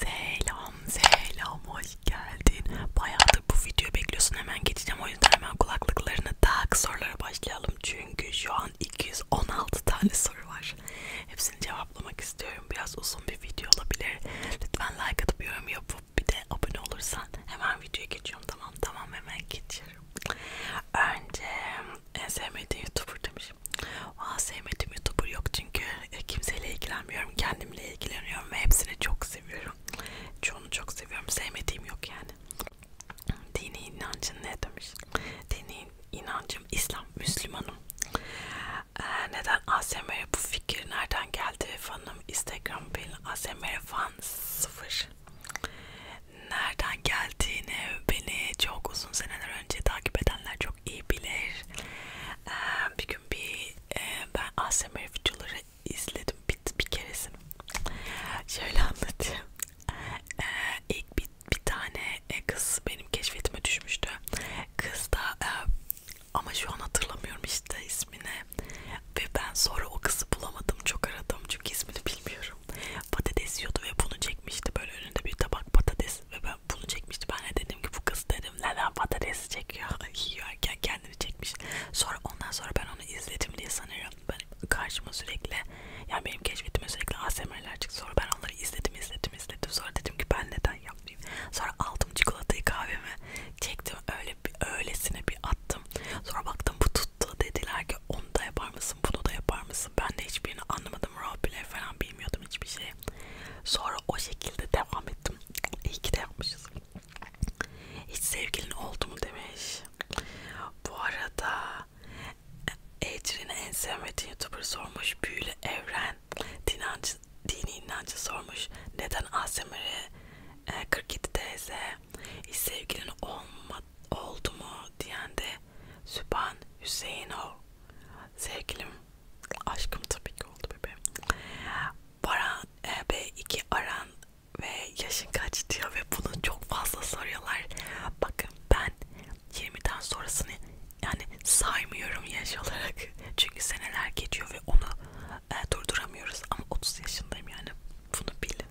Selam selam hoş geldin. Bayağıdır bu videoyu bekliyorsun hemen geçeceğim o yüzden hemen kulaklıklarını tak sorulara başlayalım. Çünkü şu an 216 tane soru var. Hepsini cevaplamak istiyorum. Biraz uzun bir video olabilir. Lütfen like atıp yorum yapıp bir de abone olursan hemen videoya geçiyorum. Tamam tamam hemen geçiyorum. Önce en sevmediğim youtuber demişim. Aa sevmediğim youtuber yok çünkü e, kimseyle ilgilenmiyorum. Kendimle ilgileniyorum ve hepsini çok seviyorum. Çoğunu çok seviyorum. Sevmediğim yok yani. Dini inancın ne demiş? Dini inancım İslam, Müslümanım. Ee, neden ASMR bu fikir nereden geldi? Fanım Instagram benim ASMR fan sıfır. Nereden geldiğini beni çok uzun seneler önce takip edenler çok iyi bilir. Ee, bir gün bir e, ben ASMR videoları izledim bir, bir keresini. Şöyle anlatayım. E, ilk bir, bir tane e, kız benim keşfetime düşmüştü. Kız da e, ama şu an hatırlamıyorum işte ismini ve ben sonra o kızı bulamadım çok aradım çünkü ismini bilmiyorum patates yiyordu ve bunu çekmişti böyle önünde bir tabak patates ve ben bunu çekmişti. Ben de dedim ki bu kız dedim neden patates çekiyor? Yiyorken kendini çekmiş. Sonra ondan sonra ben onu izledim diye sanıyorum. Ben karşıma sürekli yani benim keşfetime sürekli ASMR'ler çıktı. Sonra ben onları izledim izledim izledim. Sonra dedim ki ben neden yapmayayım? Sonra aldım çikolatayı kahvemi çektim öyle bir öylesine bir attım. Sonra baktım bu tuttu dediler ki onu da yapar mısın bunu da yapar mısın? Ben de hiçbirini anlamadım. Raw bile falan bilmiyordum hiçbir şey. Sonra o şekilde devam ettim yapmışım. İyi ki de yapmışız. Hiç sevgilin oldu mu demiş. Bu arada e, Ecrin'e en sevmediği youtuber sormuş. Büyülü Evren dinancı, dini inancı sormuş. Neden ASMR'e 47 tz hiç sevgilin olma, oldu mu diyen de Sübhan Hüseyinov sevgilim Aşkım tabii ki oldu bebeğim. Baran, e, B2 aran ve yaşın kaç diyor ve bunu çok fazla soruyorlar. Bakın ben 20'den sonrasını yani saymıyorum yaş olarak. Çünkü seneler geçiyor ve onu e, durduramıyoruz. Ama 30 yaşındayım yani. Bunu bilin.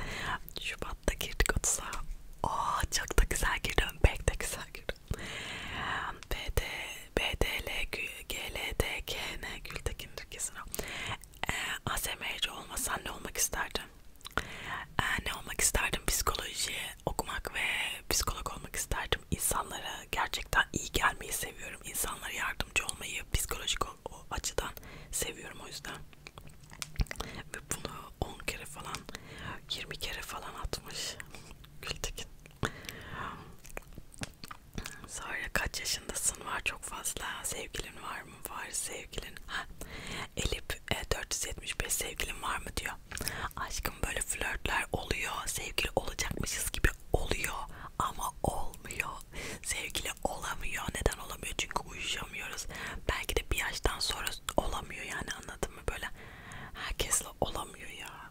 Şubat'ta girdik 30'a. Aa çok da güzel girdim. Pek de güzel girdim. BD, BDL, GLDKN, Gültekin Türkesi'ne e, ASMR'ci olmasan ne olmak isterdin? E, ne olmak isterdim? Psikoloji okumak ve psikolog olmak isterdim. İnsanlara gerçekten iyi gelmeyi seviyorum. İnsanlara yardımcı olmayı psikolojik o, o açıdan seviyorum o yüzden. Ve bunu 10 kere falan, 20 kere falan atmış Gültekin. Sonra kaç yaşındasın var çok fazla sevgilin var mı var sevgilin ha. Elip e, 475 sevgilin var mı diyor aşkım böyle flörtler oluyor sevgili olacakmışız gibi oluyor ama olmuyor sevgili olamıyor neden olamıyor çünkü uyuşamıyoruz belki de bir yaştan sonra olamıyor yani anladın mı böyle herkesle olamıyor ya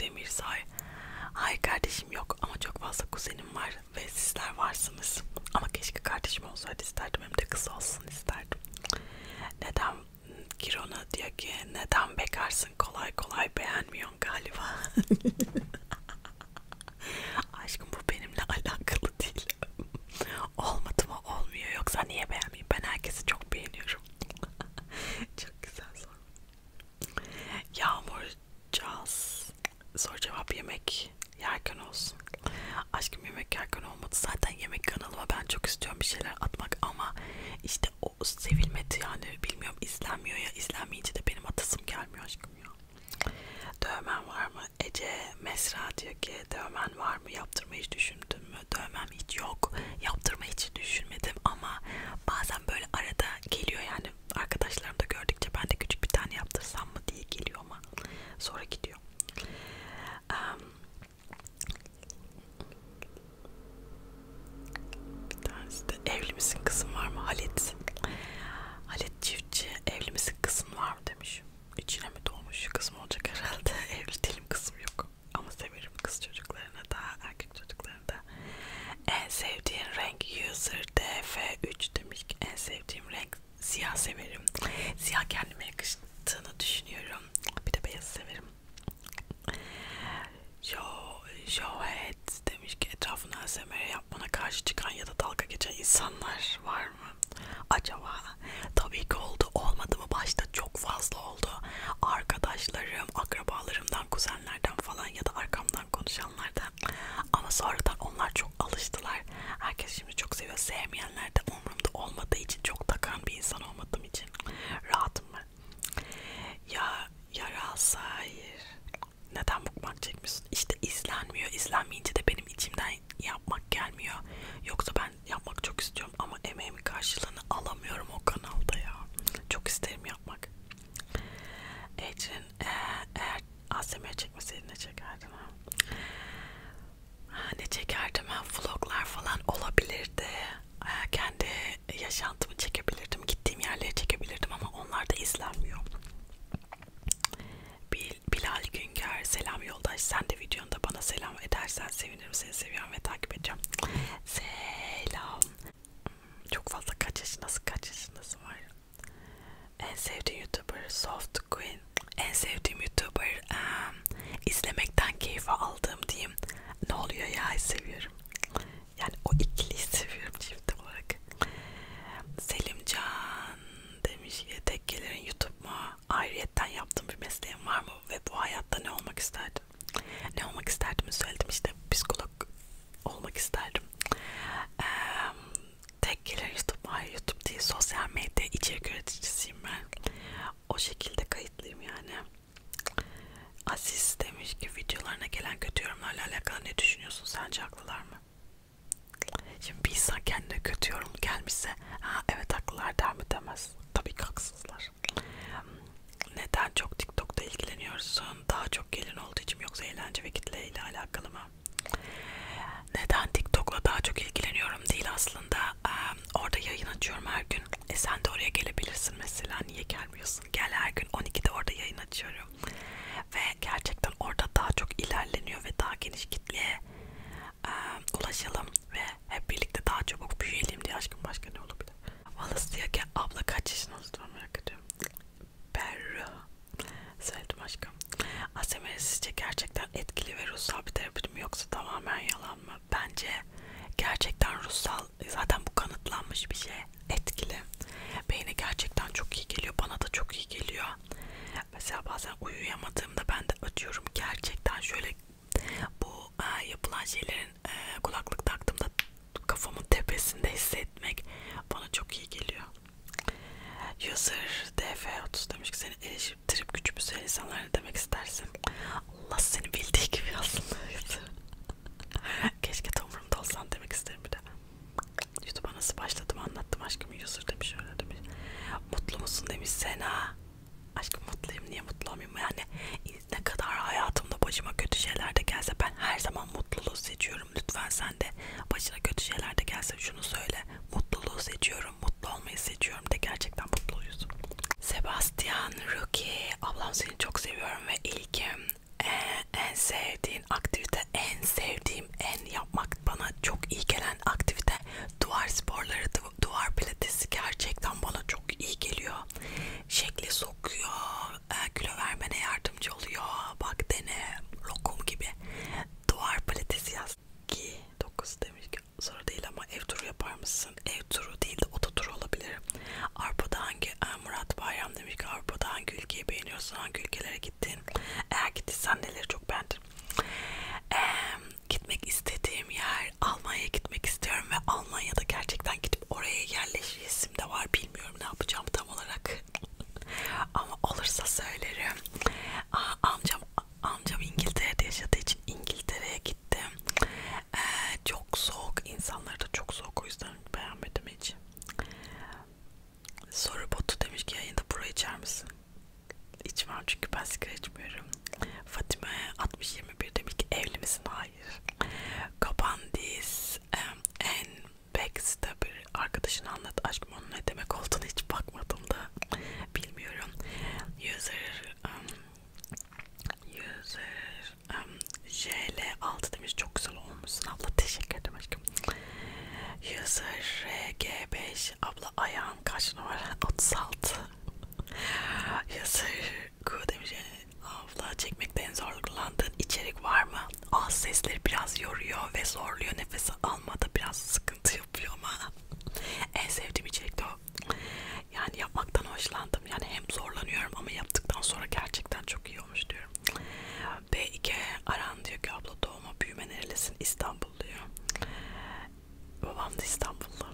Demirsay. Hayır kardeşim yok ama çok fazla kuzenim var ve sizler varsınız. Ama keşke kardeşim olsaydı isterdim hem de kız olsun isterdim. Neden Kirona diyor ki neden bekarsın kolay kolay beğenmiyorsun galiba. Aşkım bu benimle alakalı değil. Olmadı mı olmuyor yoksa niye beğenmeyeyim ben herkesi çok beğeniyorum. çok güzel soru. Yağmurcağız. Soru cevap yemek yerken olsun. Aşkım yemek yerken olmadı. Zaten yemek kanalıma ben çok istiyorum bir şeyler atmak ama işte o sevilmedi yani bilmiyorum izlenmiyor ya izlenmeyince de benim atasım gelmiyor aşkım ya. Dövmen var mı? Ece Mesra diyor ki dövmen var mı? Yaptırmayı hiç düşündün mü? Dövmem hiç yok. Yaptırmayı hiç düşünmedim ama bazen böyle arada geliyor yani yani arkadaşlarım da gördükçe ben de küçük bir tane yaptırsam mı diye geliyor ama sonra gidiyor. Um, bir tanesi de evli misin kızım var mı Halit? Halit Çiftçi evli misin kızım var mı demiş. İçine mi doğmuş kızım olacak herhalde evli değilim kızım yok. Ama severim kız çocuklarını da erkek çocuklarını da en sevdiğin renk user df3 demiş ki en sevdiğim renk siyah severim. Siyah kendime yakıştığını düşünüyorum. Bir de beyaz severim. Yo, Johet demiş ki etrafına ASMR yapmana karşı çıkan ya da dalga geçen insanlar var mı? Acaba? Tabii ki oldu. Olmadı mı? Başta çok fazla oldu. Arkadaşlarım, akrabalarımdan, kuzenlerden falan ya da arkamdan konuşan insanlardı. Ama sonradan onlar çok alıştılar. Herkes şimdi çok seviyor. Sevmeyenler de umurumda olmadığı için çok takan bir insan olmadığım için rahatım ben. Ya yarası hayır. Neden mukbang çekmiyorsun? İşte izlenmiyor. İzlenmeyince de benim içimden yapmak gelmiyor. Yoksa ben yapmak çok istiyorum ama emeğimin karşılığını alamıyorum o kanalda ya. Çok isterim yapmak. Ecrin e, eğer ASMR çekmeseydin ne çekerdim ha? ha ne çekerdim ha? Vloglar falan olabilirdi. E, kendi yaşantımı çekebilirdim. Gittiğim yerleri çekebilirdim ama onlar da izlenmiyor. Bil, Bilal Güngör, selam yoldaş. Sen de videonda bana selam edersen sevinirim. Seni seviyorum ve takip edeceğim. Selam. Çok fazla kaç yaşındasın kaç yaşındasın var. En sevdiğim YouTuber Soft Queen. En sevdiğim YouTuber um, izlemekten keyif aldığım diyeyim. Ne oluyor ya seviyorum. Yani o ikiliyi seviyorum çift olarak. Selimcan demiş ya tek gelirin YouTube mu? Ayrıyetten yaptığım bir mesleğim var mı? Ve bu hayatta ne olmak isterdim? Ne olmak isterdim söyledim işte psikolog olmak isterdim. Ee, tek gelir YouTube, hayır YouTube değil, sosyal medya içerik üreticisiyim ben. O şekilde kayıtlıyım yani. Aziz demiş ki videolarına gelen kötü yorumlarla alakalı ne düşünüyorsun? Sence haklılar mı? Şimdi bir insan kendine kötü yorum gelmişse ha evet haklılar der mi demez. Tabii ki haksızlar. Neden çok TikTok'ta ilgileniyorsun? ağırlığın daha çok gelin olduğu için yoksa eğlence ve kitle ile alakalı mı? Neden TikTok'la daha çok ilgileniyorum değil aslında. Ee, orada yayın açıyorum her gün. E sen de oraya gelebilirsin mesela. Niye gelmiyorsun? Gel her gün 12'de orada yayın açıyorum. Ve gerçekten orada daha çok ilerleniyor ve daha geniş kitleye e, ulaşalım ve hep birlikte daha çabuk büyüyelim diye aşkım başka ne olabilir? Wallace diyor ki abla kaç yaşın olduğunu merak ediyorum. Berru Söyledim aşkım. ASMR sizce gerçekten etkili ve ruhsal bir terapi mi yoksa tamamen yalan mı? Bence gerçekten ruhsal, zaten bu kanıtlanmış bir şey. Etkili. Beyne gerçekten çok iyi geliyor. Bana da çok iyi geliyor. Mesela bazen uyuyamadığımda ben de ötüyorum. Gerçekten şöyle bu e, yapılan şeylerin e, kulaklık taktığımda kafamın tepesinde hissetmek bana çok iyi geliyor. User DF30 demiş ki seni eleştirip güç büsel insanlar ne demek istersin? Allah seni bildiği gibi aslında. Keşke tomurumda olsan demek isterim bir de. YouTube'a nasıl başladım anlattım aşkım user demiş öyle demiş. Mutlu musun demiş Sena. Aşkım mutluyum niye mutlu olmayayım yani ne kadar hayatımda başıma kötü şeyler de gelse ben her zaman mutluluğu seçiyorum lütfen sen sen de başına kötü şeyler de gelse şunu söyle. Mutluluğu seçiyorum, mutlu olmayı seçiyorum de gerçekten mutlu oluyorsun. Sebastian Ruki, ablam seni çok seviyorum ve ilkim. En, en sevdiğin aktivite, en sevdiğim, en yapmak bana çok iyi gelen aktivite duvar sporları, duvar pilatesi gerçekten bana çok iyi geliyor. Şekli sokuyor e, kilo vermene yardımcı oluyor. Bak dene lokum gibi. Duvar paletesi yaz. Ki 9 demiş ki soru değil ama ev turu yapar mısın? Ev turu değil de oto turu olabilir. Avrupa'da hangi e, Murat Bayram demiş ki Avrupa'da hangi ülkeyi beğeniyorsun? Hangi ülkelere gittin? Eğer gittiysen neleri çok beğendin? Ee, gitmek istediğim yer Almanya'ya gitmek istiyorum ve Almanya'da gerçekten gidip oraya yerleşesim de var. Bilmiyorum ne yapacağım tam olarak. Ama olursa söylerim. Aa, amcam amcam İngiltere'de yaşadığı için İngiltere'ye gittim. Ee, çok soğuk. insanlar da çok soğuk. O yüzden beğenmedim hiç. Soru botu demiş ki yayında burayı içer misin? İçmem çünkü ben sigara içmiyorum. Fatime 60-21 demiş ki evli misin? Hayır. Kapandiz en Backst'a bir arkadaşına anlat aşkım onun ne demek olduğunu hiç bakmadım da bilmiyorum. User um, User um, JL6 demiş çok güzel olmuşsun abla teşekkür ederim aşkım. User RG5 abla ayağım kaç numara 36. User Q demiş abla çekmekten zorlandığın içerik var mı? ağız sesleri biraz yoruyor ve zorluyor. Nefes almada biraz sıkıntı yapıyor ama en sevdiğim içerik de o. Yani yapmaktan hoşlandım. Yani hem zorlanıyorum ama yaptıktan sonra gerçekten çok iyi olmuş diyorum. B2 Aran diyor ki abla doğma büyüme nerelisin? İstanbul diyor. Babam da İstanbullu.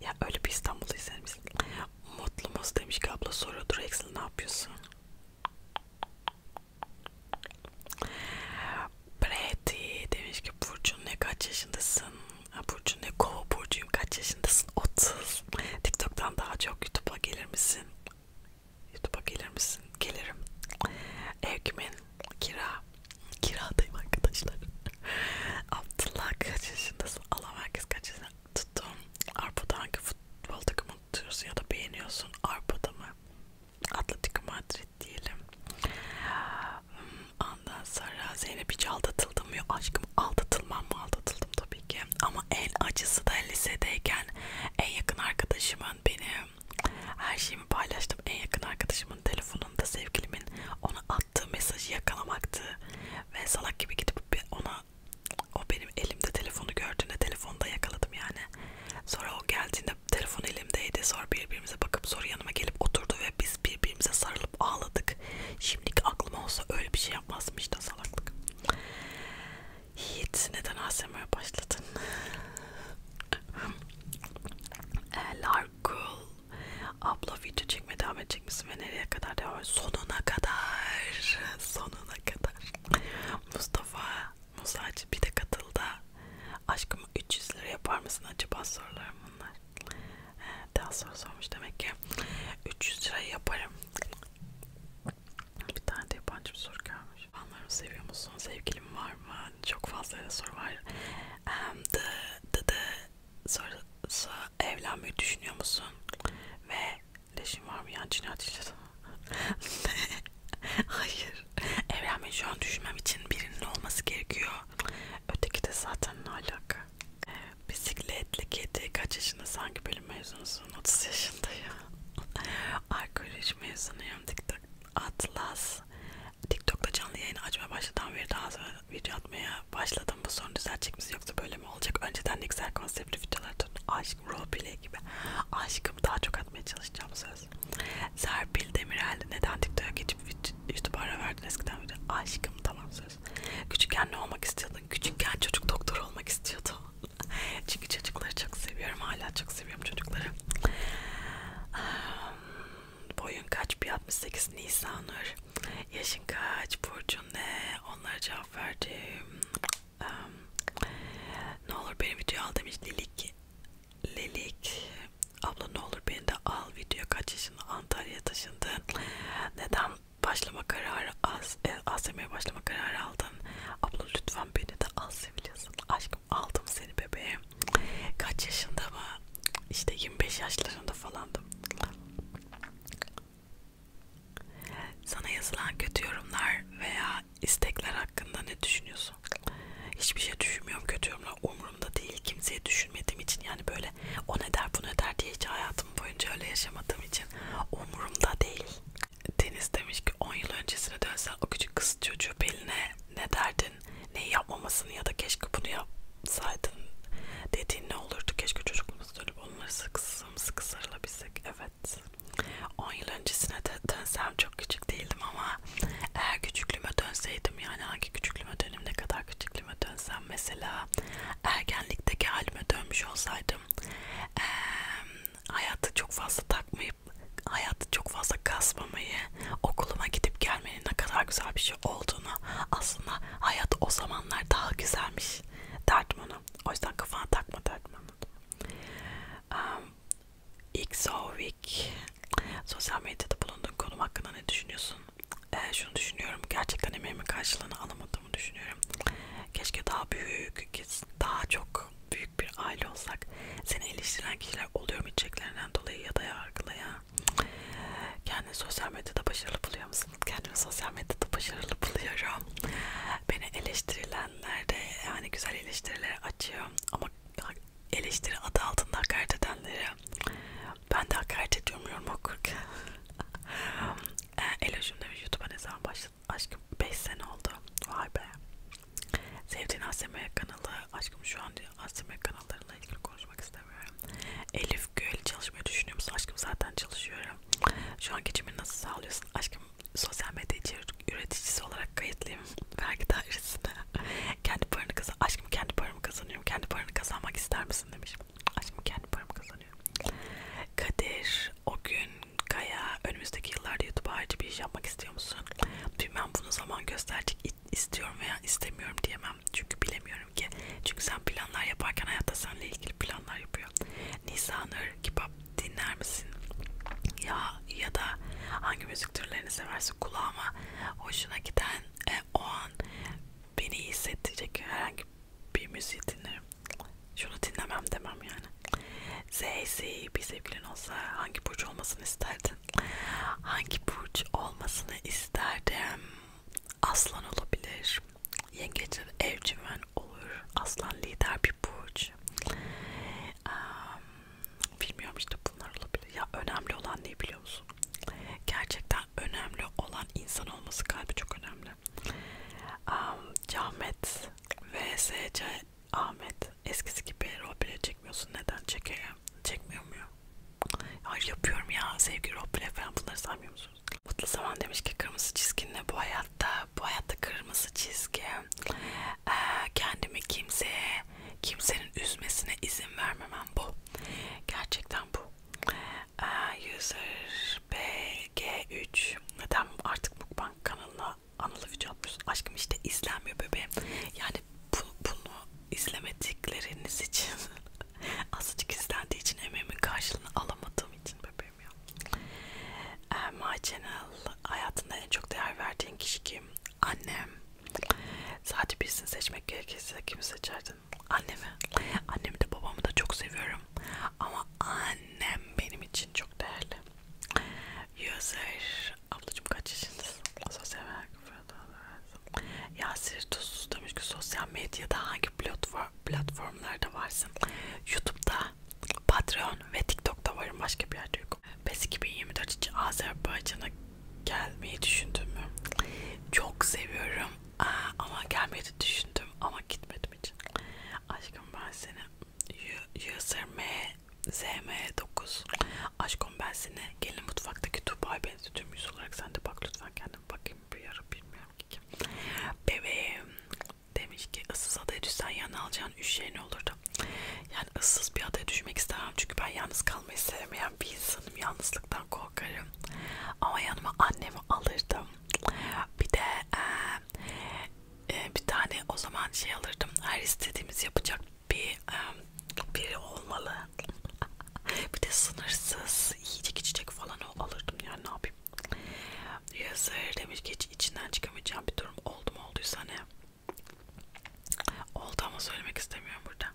Ya öyle bir İstanbul'u izlemiş. Mutlu demiş ki abla soruyordur Excel ne yapıyorsun? Brady demiş ki Burcu ne kaç yaşındasın? Burcu ne kova burcuyum kaç yaşındasın? 30. TikTok'tan daha çok YouTube'a gelir misin? YouTube'a gelir misin? Gelirim. Ev kimin? Kira. Kiradayım arkadaşlar. Abdullah kaç yaşındasın? Allah herkes kaç yaşında? Tuttum. Arpa'da hangi futbol takımı tutuyorsun ya da beğeniyorsun? Arpa'da mı? Atletico Madrid diyelim. Ondan sonra Zeynep hiç aldatıldım yok aşkım aldatılmam mı aldatıldım tabii ki ama en acısı da lisedeyken en yakın arkadaşımın benim her şeyimi paylaştım en yakın arkadaşımın telefonunda sevgilimin ona attığı mesajı yakalamaktı ve salak gibi gidip ona o benim elimde telefonu gördüğünde telefonda yakaladım yani. Sonra o geldiğinde telefon elimdeydi. Sonra birbirimize bakıp sonra yanıma gelip oturdu ve biz birbirimize sarılıp ağladık. Şimdiki aklıma olsa öyle bir şey yapmazdım işte salaklık. Hiç neden ASMR'e başladın? Larkul abla video çekmeye devam edecek misin ve nereye kadar devam Sonuna kadar. Sonuna kadar. Mustafa Musa'cı bir de katıldı. Aşkım 300 lira yapar mısın acaba sorularım bunlar. Ee, daha sonra sormuş demek ki. 300 lira yaparım. Bir tane de yabancı bir soru gelmiş. Anlarımı seviyor musun? Sevgilim var mı? Çok fazla da soru var. Um, the, the, the sorusu evlenmeyi düşünüyor musun? Ve leşin var mı? Yani cinayet işledim. Hayır. Evlenmeyi şu an düşünmem için birinin olması gerekiyor. Öteki de zaten ne alaka? Ee, Bisikletli kedi kaç yaşında sanki bölüm mezunusun? 30 yaşında ya. Arkeoloji mezunuyum. TikTok Atlas. TikTok'ta canlı yayını açmaya başladan beri daha sonra video atmaya başladım. Bu sorun düzelecek misin yoksa böyle mi olacak? Önceden ne güzel konseptli videolar tutun. Aşk roleplay gibi. Aşkım daha çok atmaya çalışacağım söz yapacağız. Serpil Demirel neden TikTok'a geçip YouTube'a ara verdin eskiden beri? Aşkım tamam söz. Küçükken ne olmak istiyordun? Küçükken çocuk doktor olmak istiyordum. Çünkü çocukları çok seviyorum. Hala çok seviyorum çocukları. Um, boyun kaç? 168 Nisanur. Yaşın kaç? Burcun ne? Onlara cevap verdim um, ne olur beni video al demiş Lilik Lilik abla ne olur beni de al video kaç yaşında Antalya'ya taşındın neden başlama kararı az e, ASM'ye başlama kararı aldın abla lütfen beni de al seviyorsun aşkım aldım seni bebeğim kaç yaşında mı işte 25 yaşlarında falandım sana yazılan kötü yorumlar veya istekler hakkında ne düşünüyorsun? Hiçbir şey düşünmüyorum. Kötü yorumlar umurumda değil. Kimseye düşünmediğim için yani böyle o ne der bu ne der diye hiç hayatım boyunca öyle yaşamadığım için umurumda değil. Deniz demiş ki 10 yıl öncesine dönsen o küçük kız çocuğu beline ne derdin? Neyi yapmamasını ya da keşke bunu yapsaydın dediğin ne olurdu? Keşke çocukluğumuzda dönüp onları sık sık sık sarılabilsek. Evet. Evet. 10 yıl öncesine dönsem çok küçük değildim ama eğer küçüklüğüme dönseydim yani hangi küçüklüğüme dönüm ne kadar küçüklüğüme dönsem mesela ergenlikteki halime dönmüş olsaydım e, hayatı çok fazla takmayıp hayatı çok fazla kasmamayı okuluma gidip gelmenin ne kadar güzel bir şey olduğunu aslında hayat o zamanlar daha güzelmiş derdim onu. O yüzden kafana takma derdim onu. Um, ilk Week sosyal medyada bulunduğun konum hakkında ne düşünüyorsun? Ee, şunu düşünüyorum, gerçekten emeğimin karşılığını alamadığımı düşünüyorum. Keşke daha büyük, daha çok büyük bir aile olsak. Seni eleştiren kişiler oluyor mu içeceklerinden dolayı ya da yargılaya? Kendini sosyal medyada başarılı buluyor musun? Kendimi sosyal medyada başarılı buluyorum. Beni eleştirilenler de yani güzel eleştirilere açıyor ama eleştiri adı altında hakaret edenlere ben de hakaret ediyorum okurken e, Eloş'um demiş YouTube'a ne zaman başladın aşkım 5 sene oldu vay be sevdiğin ASMR kanalı aşkım şu an ASMR kanallarıyla ilgili konuşmak istemiyorum Elif Gül çalışmayı düşünüyor musun aşkım zaten çalışıyorum şu an geçimini nasıl sağlıyorsun aşkım sosyal medya içerik üreticisi olarak kayıtlıyım vergi dairesine. kendi paranı kazan, aşkım kendi paramı kazanıyorum. Kendi paranı kazanmak ister misin demiş. Aşkım kendi paramı kazanıyorum. Kadir, o gün Kaya önümüzdeki yıllarda YouTube harici bir iş yapmak istiyor musun? Bilmem bunu zaman gösterecek istiyorum veya istemiyorum diyemem. Çünkü bilemiyorum ki. Çünkü sen planlar yaparken hayatta seninle ilgili planlar yapıyor. Nisanır, kebap dinler misin? Ya ya da hangi müzik türlerini seversin kulağıma hoşuna giden e, o an beni iyi hissettirecek herhangi bir müziği dinlerim. Şunu dinlemem demem yani. Zeyzi bir sevgilin olsa hangi burç olmasını isterdin? Hangi burç olmasını isterdim? Aslan olabilir. Yengeçler evcimen olur. Aslan lider bir burç. Um, Bilmiyorum işte bunlar olabilir. Ya önemli olan ne biliyor musun? Gerçekten önemli olan insan olması kalbi çok önemli. Um, Cahmet VSC Ahmet eskisi gibi roleplay çekmiyorsun. Neden çekeyim? Çekmiyor muyum? Hayır yapıyorum ya. Sevgi roleplay falan bunları saymıyor musunuz? Mutlu Zaman demiş ki kırmızı çizginle bu hayatta. Bu hayatta kırmızı çizgi. Ee, kendimi kimseye Kimsenin üzmesine izin vermemem bu. Gerçekten bu. Ee, user BG3 neden artık mukbang kanalına anılı video atmıyorsun? Aşkım işte izlenmiyor bebeğim. Yani bunu, bunu izlemedikleriniz için azıcık izlendiği için emeğimin karşılığını alamadığım için bebeğim ya. Ee, my Channel hayatında en çok değer verdiğin kişi kim? Annem. Sadece birisini seçmek gerekirse kimi seçerdin? Annemi. Annemi de babamı da çok seviyorum. Ama annem benim için çok değerli. User. Ablacığım kaç yaşındasın? Sosyal medya. Yasir Tuzsuz demiş ki sosyal medyada hangi platform, platformlarda varsın? Youtube'da, Patreon ve TikTok'ta varım. Başka bir yerde yok yok. PES 2024 için Azerbaycan'a gelmeyi düşündün mü? Çok seviyorum Aa, ama gelmeyi düşündüm ama gitmedim hiç. Aşkım ben seni YSM-ZM9 Aşkım ben seni gelin mutfaktaki Dubai benzetiyorum yüz olarak sen de bak lütfen kendim bakayım bir yara bilmiyorum ki kim. Bebeğim demiş ki ıssız adaya düşsen yanına alacağın üç şey ne olurdu? bunları. Yani ıssız bir adaya düşmek istemem çünkü ben yalnız kalmayı sevmeyen bir insanım. Yalnızlıktan korkarım. Ama yanıma annemi alırdım. Bir de e, e, bir tane o zaman şey alırdım. Her istediğimiz yapacak bir e, biri olmalı. bir de sınırsız yiyecek içecek falan o alırdım yani ne yapayım. Yazır demiş ki hiç içinden çıkamayacağım bir durum oldu mu olduysa ne? Oldu ama söylemek istemiyorum burada.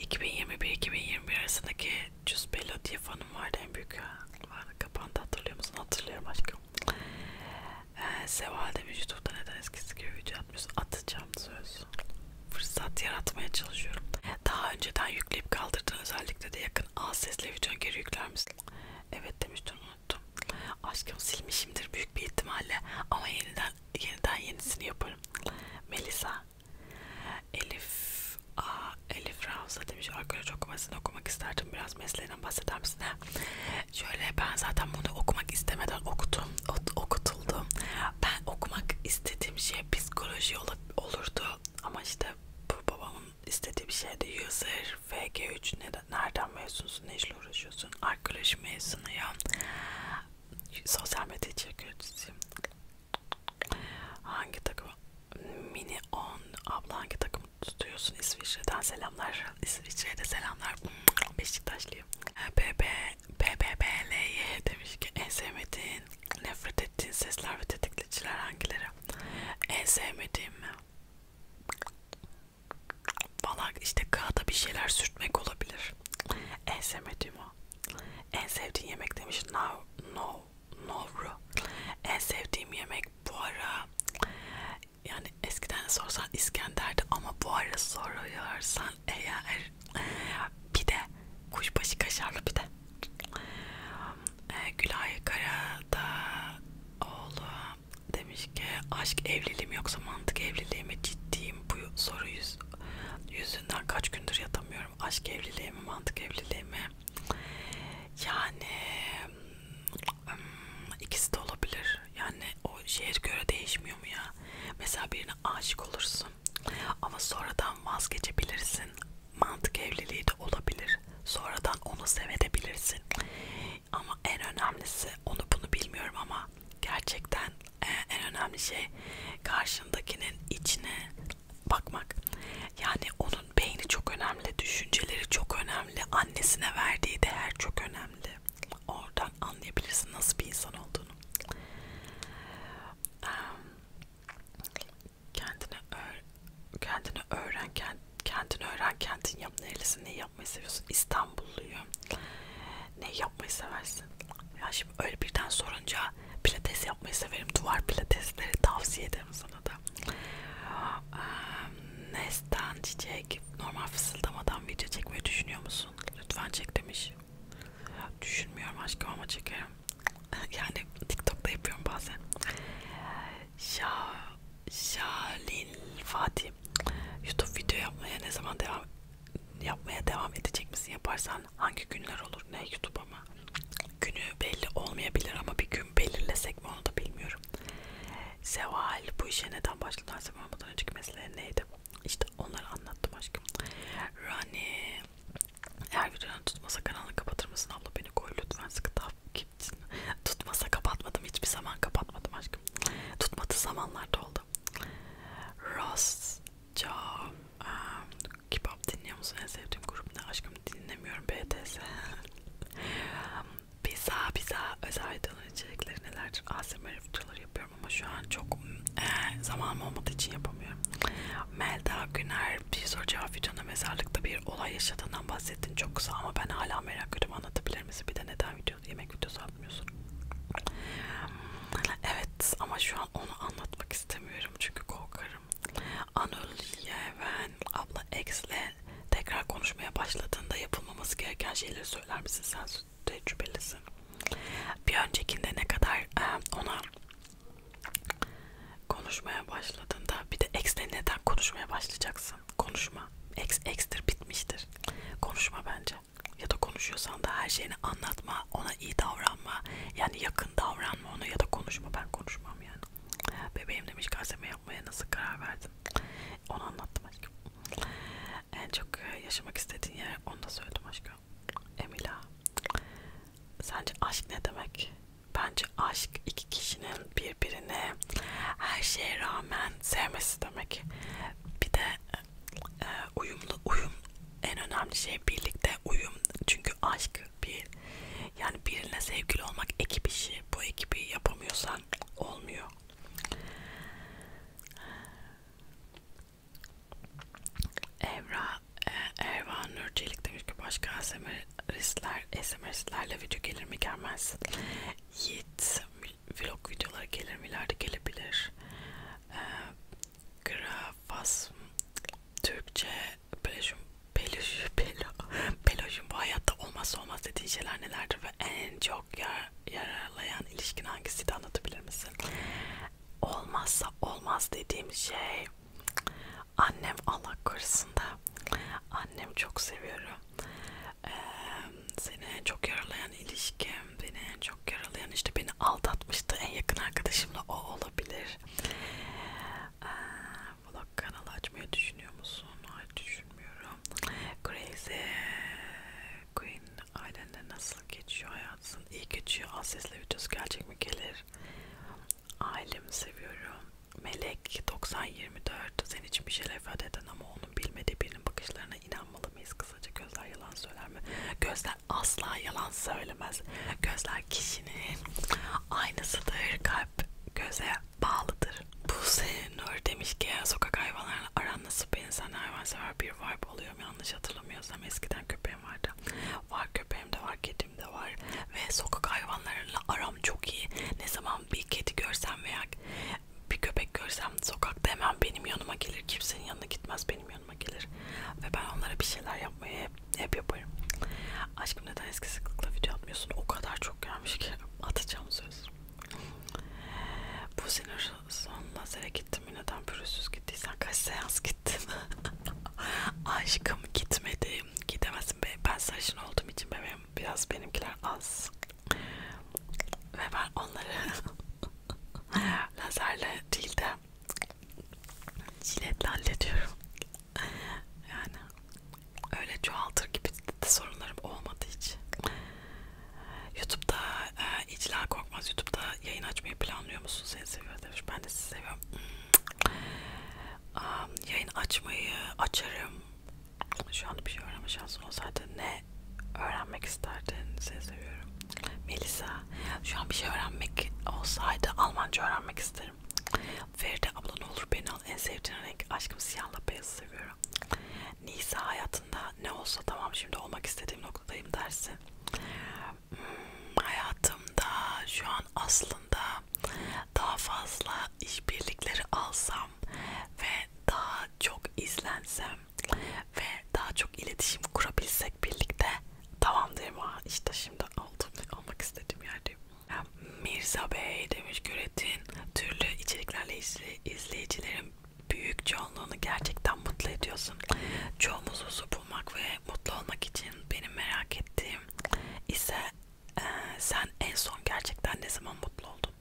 2021-2021 arasındaki Cüspelo diye fanım vardı en büyük. Vardı, kapandı hatırlıyor musun? Hatırlıyorum aşkım. Ee, Seval demiş YouTube'da neden eskisi gibi video atmıyorsun? Atacağım söz. Fırsat yaratmaya çalışıyorum. Daha önceden yükleyip kaldırdığın özellikle de yakın az sesle videonu geri yükler misin? Evet demiştim unuttum. Aşkım silmişimdir büyük bir ihtimalle ama yeniden yeniden yenisini yaparım. Melisa Elif A, Elif Ravza demiş. Arkadaşlar çok basını okumak isterdim. Biraz mesleğinden bahseder misin? Şöyle ben zaten bunu okumak istemeden okudum. Okutuldum. Ben okumak istediğim şey psikoloji olurdu. Ama işte bu babamın istediği bir şeydi. User FG3 nereden mezun yapıyorsun? Ne işle uğraşıyorsun? Arkeoloji mezunuyum. Sosyal medya içeriklericisiyim. Hangi takım? Mini 10. Abla hangi takım tutuyorsun? İsviçre'den selamlar. İsviçre'de selamlar. Beşiktaşlıyım. BBBLY demiş ki en sevmediğin, nefret ettiğin sesler ve tetikleyiciler hangileri? En sevmediğim mi? Valla işte kağıda bir şeyler sürtmek olabilir. En sevmediğim o. En sevdiğin yemek demiş. No, no, no. En sevdiğim yemek bu ara yani eskiden sorsan İskender'di ama bu ara soruyorsan eğer bir de kuşbaşı kaşarlı bir de ee, Gülay Karada oğlu demiş Keşke aşk evliliğim yoksa mantık evliliğime ciddiyim bu soru yüz, yüzünden kaç gündür yatamıyorum. Aşk evliliğimi mantık evliliğimi yani hmm, ikisi de olabilir. Yani o şeye göre değişmiyor mu ya? Mesela birine aşık olursun ama sonradan vazgeçebilirsin. Mantık evliliği de olabilir. Sonradan onu sevebilirsin. Ama en önemlisi onu bunu bilmiyorum ama gerçekten e, en önemli şey karşındakinin içine bakmak. Yani onun beyni çok önemli, düşünceleri çok önemli, annesine verdiği değer çok önemli. Oradan anlayabilirsin nasıl bir insan olduğunu. Kendine öğren, kendini öğren, kendini öğren, kendin yap. Nerelisini yapmayı seviyorsun? İstanbulluyum ne yapmayı seversin? Ya şimdi öyle birden sorunca pilates yapmayı severim. Duvar pilatesleri tavsiye ederim sana da. Um, Nesten çiçek normal fısıldamadan video çekmeyi düşünüyor musun? Lütfen çek demiş. Düşünmüyorum aşkım ama çekerim. yani TikTok'ta yapıyorum bazen. Şa Şalil Fatih YouTube video yapmaya ne zaman devam yapmaya devam edecek misin? Yaparsan hangi günler olur? Ne YouTube ama günü belli olmayabilir ama bir gün belirlesek mi onu da bilmiyorum. Seval bu işe neden başladın? Seval olmadan önceki mesele neydi? İşte onları anlattım aşkım. Rani eğer videonu tutmasa kanalı kapatır mısın? Abla beni koy lütfen sıkı takipçin. Tutmasa kapatmadım. Hiçbir zaman kapatmadım aşkım. Tutmadığı zamanlarda oldu oldu. Ross, Jaw, um, K-pop dinliyor musun? En sevdiğim grup ne? Aşkım dinlemiyorum BTS. Biza biza özel videoların içerikleri nelerdir? ASMR videoları yapıyorum ama şu an çok e, zamanım olmadığı için yapamıyorum. Melda Güner bir soru cevap videonda mezarlıkta bir olay yaşadığından bahsettin çok kısa ama ben hala merak ediyorum anlatabilir misin? Bir de neden video yemek videosu yapmıyorsun. Evet ama şu an onu anlatmak istemiyorum çünkü korkarım. Anıl Yeven abla X'le tekrar konuşmaya başladığında yapılmaması gereken şeyleri söyler misin? Sen tecrübelisin. Bir öncekinde ne kadar e, ona konuşmaya başladığında bir de X'le neden konuşmaya başlayacaksın? Konuşma. X, X'tir bitmiştir. Konuşma bence ya da konuşuyorsan da her şeyini anlatma, ona iyi davranma. Yani yakın davranma ona ya da konuşma. Ben konuşmam yani. Bebeğim demiş gazeme yapmaya nasıl karar verdin? Onu anlattım aşkım. En çok e, yaşamak istediğin yer onu da söyledim aşkım. Emila. Sence aşk ne demek? Bence aşk iki kişinin birbirini her şeye rağmen sevmesi demek. Bir de e, e, uyumlu uyum en önemli şey birlikte uyum çünkü aşk bir yani birine sevgili olmak ekip işi bu ekibi yapamıyorsan olmuyor Evra e, Ervan Nurçelik demiş ki başka SMR'istler SMR'istlerle video gelir mi gelmez Yiğit vlog videoları gelir mi ileride gelebilir. Ee, Grafas Türkçe pelajum pelajum pelajum bu hayatta olmazsa olmaz dediğin şeyler nelerdir ve en çok yar, yararlayan ilişkin hangisiydi anlatabilir misin? Olmazsa olmaz dediğim şey annem Allah korusun da annem çok seviyorum. Ee, seni çok yaralayan ilişki beni en çok yaralayan işte beni aldatmıştı en yakın arkadaşımla o olabilir. Ee, vlog kanalı açmayı düşünüyor musun? Hayır düşünmüyorum. Crazy Queen ailende nasıl geçiyor hayatın? İyi geçiyor. Az sesle videosu gelecek mi gelir? Ailemi seviyorum. Melek 90-24 senin için bir şeyler ifade eden ama onun bilmediği birinin bakışlarına inanmalı mıyız kız? kısaca gözler yalan söyler mi? Gözler asla yalan söylemez. Gözler kişinin aynasıdır. Kalp göze bağlıdır. Buse Nur demiş ki sokak hayvanlarla aran nasıl bir insan hayvansever bir vibe oluyor mu? Yanlış hatırlamıyorsam eskiden köpeğim vardı. Var köpeğim de var kedim de var. Ve sokak hayvanlarıyla aram çok iyi. Ne zaman bir kedi görsem veya bir köpek görsem sokakta hemen benim yanıma gelir. Kimsenin yanına gitmez benim yanıma yanıma gelir ve ben onlara bir şeyler yapmayı hep, hep yaparım. Aşkım neden eski sıklıkla video atmıyorsun? O kadar çok gelmiş ki atacağım söz. Bu sinir son lazere gittim mi? Neden pürüzsüz gittiysen kaç seans gittim? Aşkım gitmedim. Gidemezsin be. Ben sarışın olduğum için bebeğim biraz benimkiler az. Ve ben onları lazerle değil de jiletle hallediyorum yani öyle çoğaltır gibi de sorunlarım olmadı hiç YouTube'da e, İcla Korkmaz YouTube'da yayın açmayı planlıyor musun? Seni seviyor demiş. Ben de sizi seviyorum. Um, yayın açmayı açarım. Şu an bir şey öğrenme şansım olsaydı ne öğrenmek isterdin? Seni seviyorum. Melisa, şu an bir şey öğrenmek olsaydı Almanca öğrenmek isterim. Feride abla ne olur beni al. En sevdiğin renk aşkım siyahla beyazı seviyorum. Nisa hayatında ne olsa tamam şimdi olmak istediğim noktadayım dersi. Hmm, hayatımda şu an aslında daha fazla işbirlikleri alsam ve daha çok izlensem ve daha çok iletişim kurabilsek birlikte tamam derim ha işte şimdi aldım almak istediğim yerdeyim. Mirza Bey demiş Güretin türlü içeriklerle izley izleyicilerin büyük çoğunluğunu gerçekten mutlu ediyorsun. Çoğumuz huzur bulmak ve mutlu olmak için benim merak ettiğim ise e, sen en son gerçekten ne zaman mutlu oldun?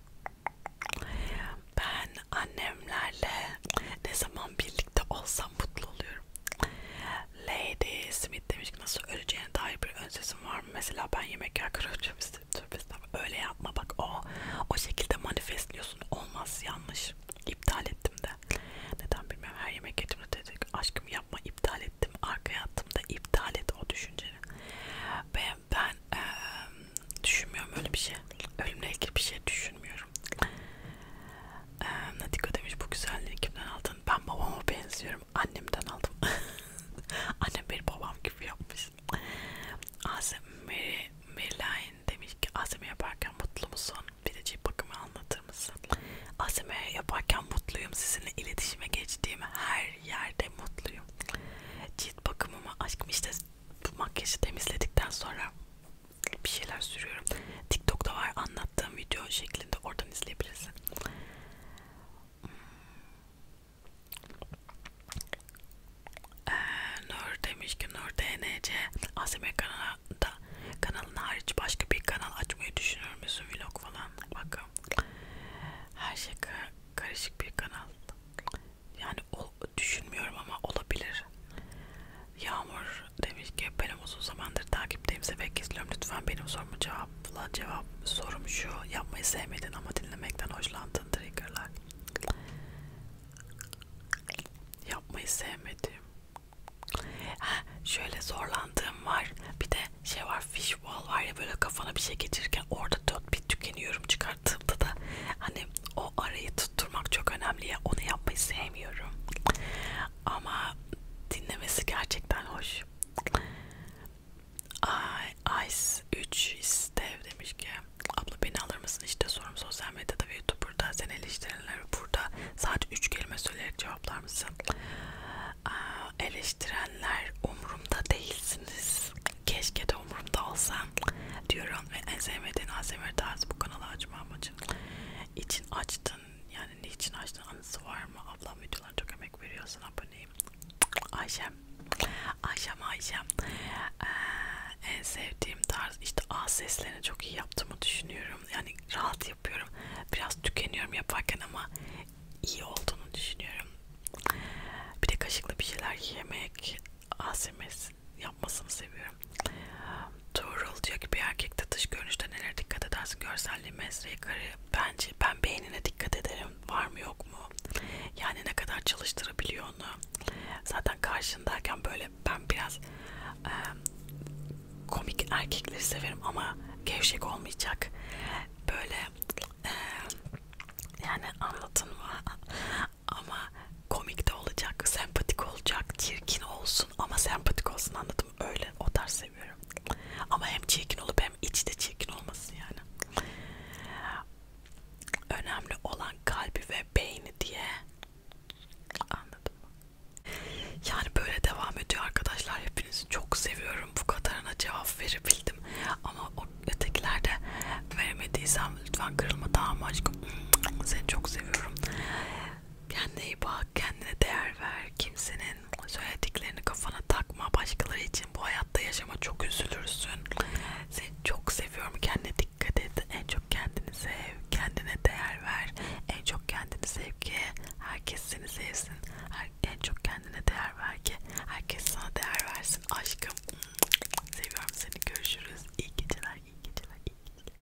Ben annemlerle ne zaman birlikte Müzikte olsam mutlu oluyorum. Lady Smith demiş ki nasıl öleceğine dair bir ön sesim var mı? Mesela ben yemek yer kırılacağım istedim. Öyle yapma bak o o şekilde manifestliyorsun. Olmaz yanlış. İptal ettim de. Neden bilmiyorum her yemek yetimde dedik. Aşkım yapma iptal ettim. Arkaya attım da iptal et o düşünceni. Ve ben ee, düşünmüyorum öyle bir şey. Ölümle ilgili bir şey düşünmüyorum. Ee, Nadiko demiş bu güzelliği kimden aldın? Ben babama benziyorum. Annemden aldım. Annem beni babam gibi yapmış. Asım Meri Merilayn demiş ki Asım'ı yaparken mutlu musun? Bir de cilt bakımı anlatır mısın? Asım'ı yaparken mutluyum. Sizinle iletişime geçtiğim her yerde mutluyum. Cilt bakımımı aşkım işte bu makyajı temizledikten sonra bir şeyler sürüyorum. TikTok'ta var anlattığım video şeklinde oradan izleyebilirsin. Ee, Nur demiş ki Nur DNC ASMR kanalında kanalın hariç başka bir kanal açmayı düşünür müsün vlog falan bakalım her şey karışık bir kanal yani o düşünmüyorum ama olabilir Yağmur demiş ki benim uzun zamandır takipteyim sevek izliyorum lütfen benim sorumu cevapla cevap sorum şu yapmayı sevmedin ama dinlemekten hoşlandın triggerlar yapmayı sevmedim ha, şöyle zorlandığım var bir de şey var fishball var ya böyle kafana bir şey geçirirken orada dört bit tükeniyorum çıkarttığımda da hani o arayı tutturmak çok önemli ya onu yapmayı sevmiyorum ama dinlemesi gerçekten hoş Ay, Ice 3 istev demiş ki abla beni alır mısın işte sorum sosyal medyada ve youtuberda sen eleştirileri burada sadece 3 kelime söyleyerek cevaplar mısın Aa, eleştirenler umurumda değilsiniz keşke de umurumda olsam diyorum ve en sevmediğin ASMR tarzı bu kanalı açma ama için. İçin açtın yani niçin açtın anısı var mı? Ablam videolarına çok emek veriyorsun aboneyim. Ayşem. Ayşem Ayşem. Ee, en sevdiğim tarz işte ağız seslerini çok iyi yaptığımı düşünüyorum. Yani rahat yapıyorum. Biraz tükeniyorum yaparken ama iyi olduğunu düşünüyorum. Bir de kaşıkla bir şeyler yemek, ASMR yapmasını seviyorum. Tuğrul diyor ki bir erkekte dış görünüşte neler dikkat edersin? Görselliği, mesleği, karı. Bence ben beynine dikkat ederim. Var mı yok mu? Yani ne kadar çalıştırabiliyor onu. Zaten karşındayken böyle ben biraz e, komik erkekleri severim ama gevşek olmayacak. Böyle e, yani anlatın mı? ama komik de olacak, sempatik olacak, çirkin olsun olsun ama sempatik olsun anladım öyle o tarz seviyorum ama hem çirkin olup hem içte çirkin olmasın yani önemli olan kalbi ve beyni diye anladım yani böyle devam ediyor arkadaşlar hepinizi çok seviyorum bu kadarına cevap verebildim ama o ötekilerde veremediysem lütfen kırılma tamam aşkım seni çok seviyorum Kendine iyi bak, kendine değer ver. Kimsenin söylediklerini kafana takma. Başkaları için bu hayatta yaşama çok üzülürsün. Seni çok seviyorum. Kendine dikkat et. En çok kendini sev. Kendine değer ver. En çok kendini sev ki herkes seni sevsin. Her, en çok kendine değer ver ki herkes sana değer versin. Aşkım seviyorum seni. Görüşürüz. İyi geceler, iyi geceler, iyi geceler.